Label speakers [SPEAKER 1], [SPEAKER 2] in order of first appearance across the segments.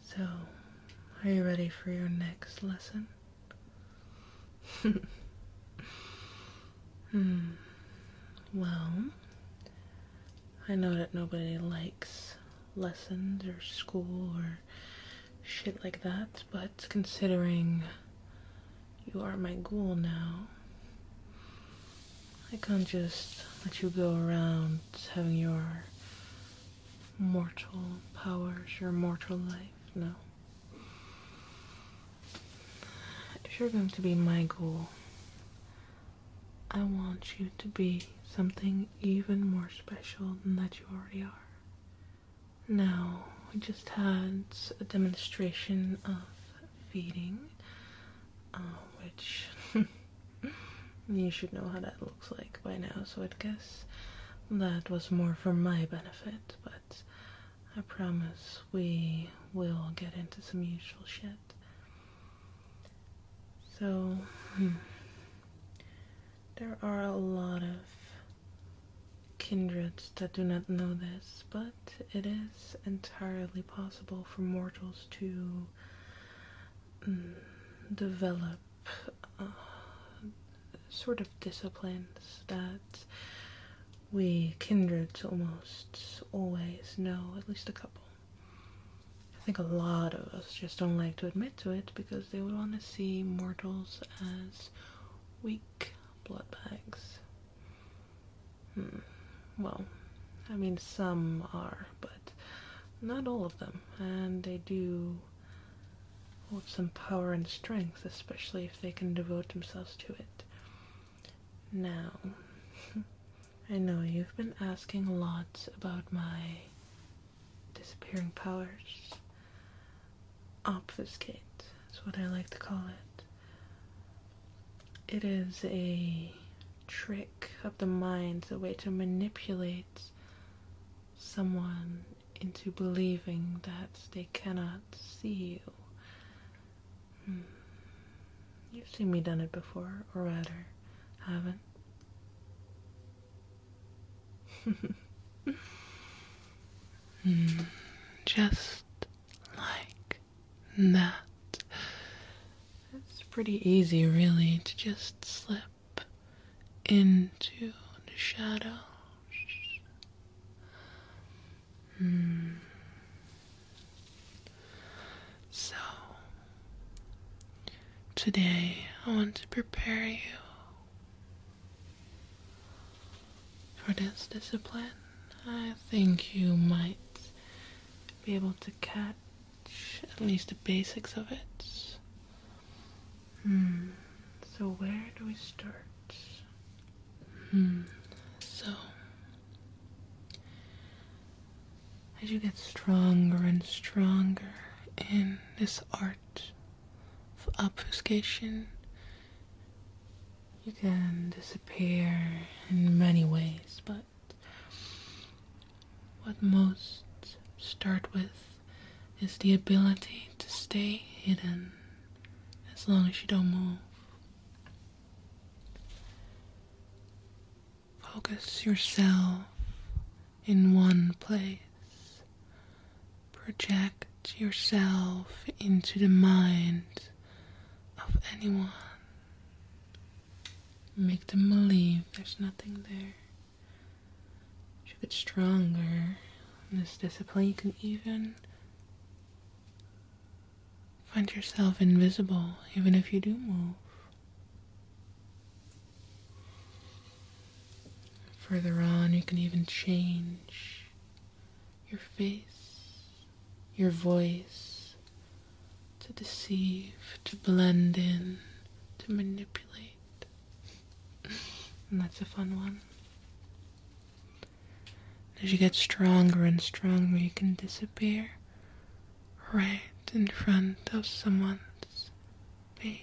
[SPEAKER 1] So, are you ready for your next lesson? hmm. Well, I know that nobody likes lessons or school or shit like that, but considering you are my ghoul now, I can't just let you go around having your mortal powers, your mortal life, no. If you're going to be my goal, I want you to be something even more special than that you already are. Now, we just had a demonstration of feeding um, which you should know how that looks like by now, so i guess that was more for my benefit, but I promise we will get into some useful shit. So, hmm. there are a lot of kindreds that do not know this, but it is entirely possible for mortals to Mm, develop uh, sort of disciplines that we kindreds almost always know at least a couple. I think a lot of us just don't like to admit to it because they would want to see mortals as weak blood bags. Hmm. Well, I mean, some are, but not all of them, and they do hold some power and strength, especially if they can devote themselves to it. Now, I know you've been asking a lot about my disappearing powers. Obfuscate, that's what I like to call it. It is a trick of the mind, a way to manipulate someone into believing that they cannot see you. Hmm. You've seen me done it before, or rather, haven't. Hmm. just like and that. It's pretty easy, really, to just slip into the shadow. Hmm. So, today I want to prepare you for this discipline. I think you might be able to catch at least the basics of it. Hmm. So where do we start? Hmm. So as you get stronger and stronger in this art of obfuscation, you can disappear in many ways, but what most start with is the ability to stay hidden as long as you don't move. Focus yourself in one place. Project yourself into the mind of anyone. Make them believe there's nothing there. You get stronger in this discipline. You can even find yourself invisible, even if you do move. Further on, you can even change your face your voice, to deceive, to blend in, to manipulate. And that's a fun one. As you get stronger and stronger, you can disappear right in front of someone's face.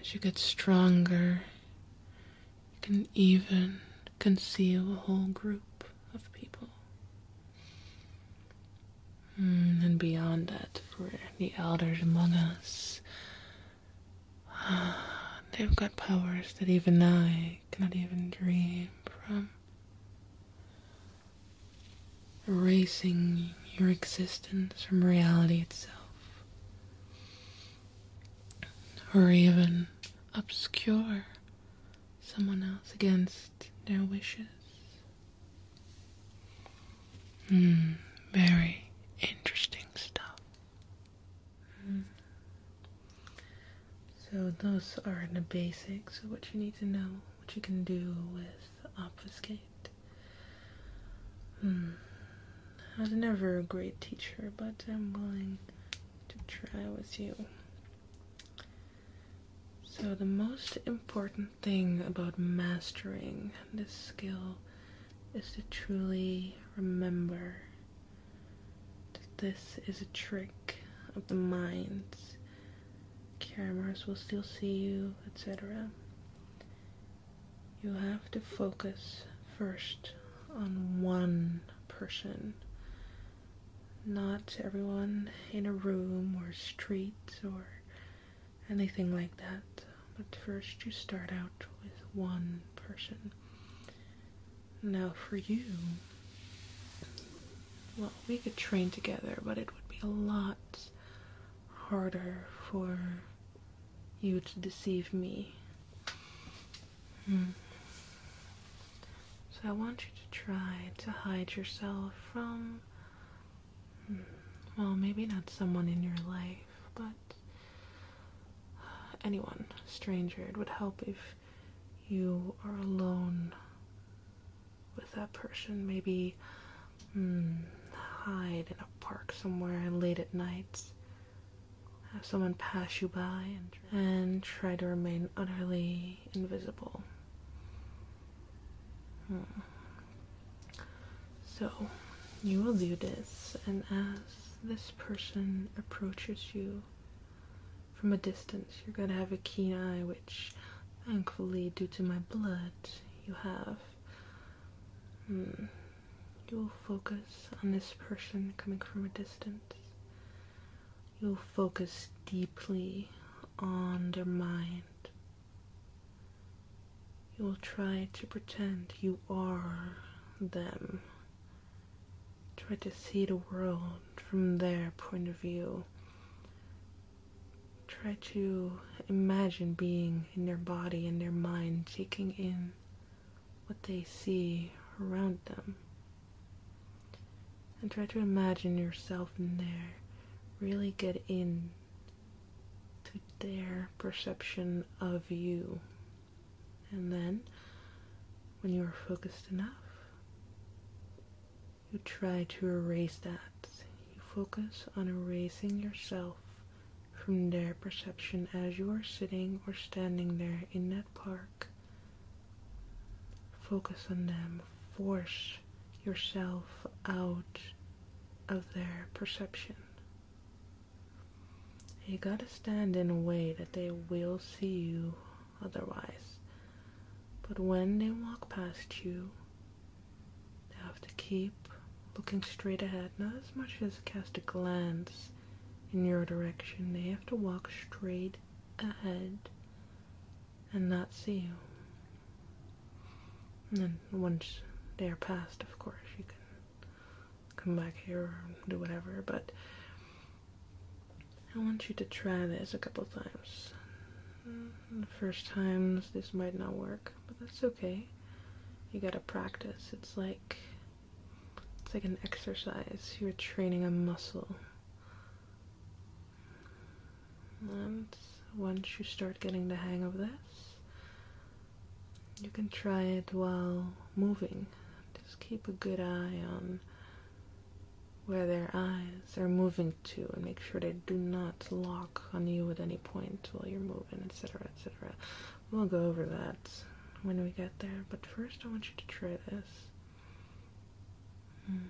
[SPEAKER 1] As you get stronger, you can even conceal a whole group of people. Mm, and beyond that, for the elders among us, they've got powers that even I cannot even dream from. Erasing your existence from reality itself or even obscure someone else against their wishes. Mm, very interesting stuff. So, those are the basics of what you need to know, what you can do with obfuscate. Mm. I was never a great teacher, but I'm willing to try with you. So, the most important thing about mastering this skill is to truly remember that this is a trick of the mind. Cameras will still see you, etc you have to focus first on one person. Not everyone in a room or street or anything like that. But first you start out with one person. Now for you, well, we could train together, but it would be a lot harder for you to deceive me. Hmm. So I want you to try to hide yourself from, hmm, well, maybe not someone in your life, but uh, anyone, stranger. It would help if you are alone with that person. Maybe hmm, hide in a park somewhere late at night have someone pass you by and, try to remain utterly invisible. Hmm. So, you will do this, and as this person approaches you from a distance, you're going to have a keen eye, which thankfully, due to my blood, you have. Hmm. You'll focus on this person coming from a distance. You'll focus deeply on their mind. You'll try to pretend you are them. Try to see the world from their point of view. Try to imagine being in their body and their mind, taking in what they see around them. And try to imagine yourself in there. Really get in to their perception of you. And then, when you are focused enough, you try to erase that. You focus on erasing yourself from their perception as you are sitting or standing there in that park. Focus on them. Force yourself out of their perception. You gotta stand in a way that they will see you otherwise. But when they walk past you, they have to keep looking straight ahead. Not as much as cast a glance in your direction. They have to walk straight ahead and not see you. And then once they are past, of course, you can come back here or do whatever. But I want you to try this a couple times. The first times this might not work but that's okay. You gotta practice. It's like it's like an exercise. You're training a muscle. And once you start getting the hang of this, you can try it while moving. Just keep a good eye on where their eyes are moving to and make sure they do not lock on you at any point while you're moving, etc., etc. We'll go over that when we get there, but first I want you to try this. Hmm,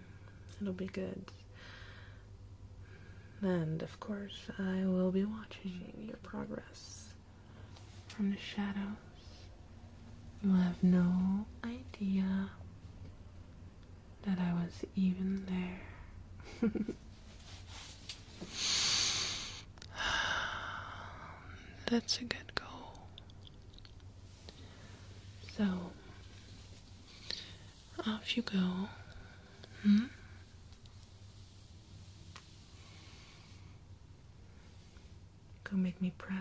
[SPEAKER 1] it'll be good. And of course, I will be watching your progress from the shadows. You have no idea that I was even there. That's a good goal. So, off you go. Hmm? Go make me proud.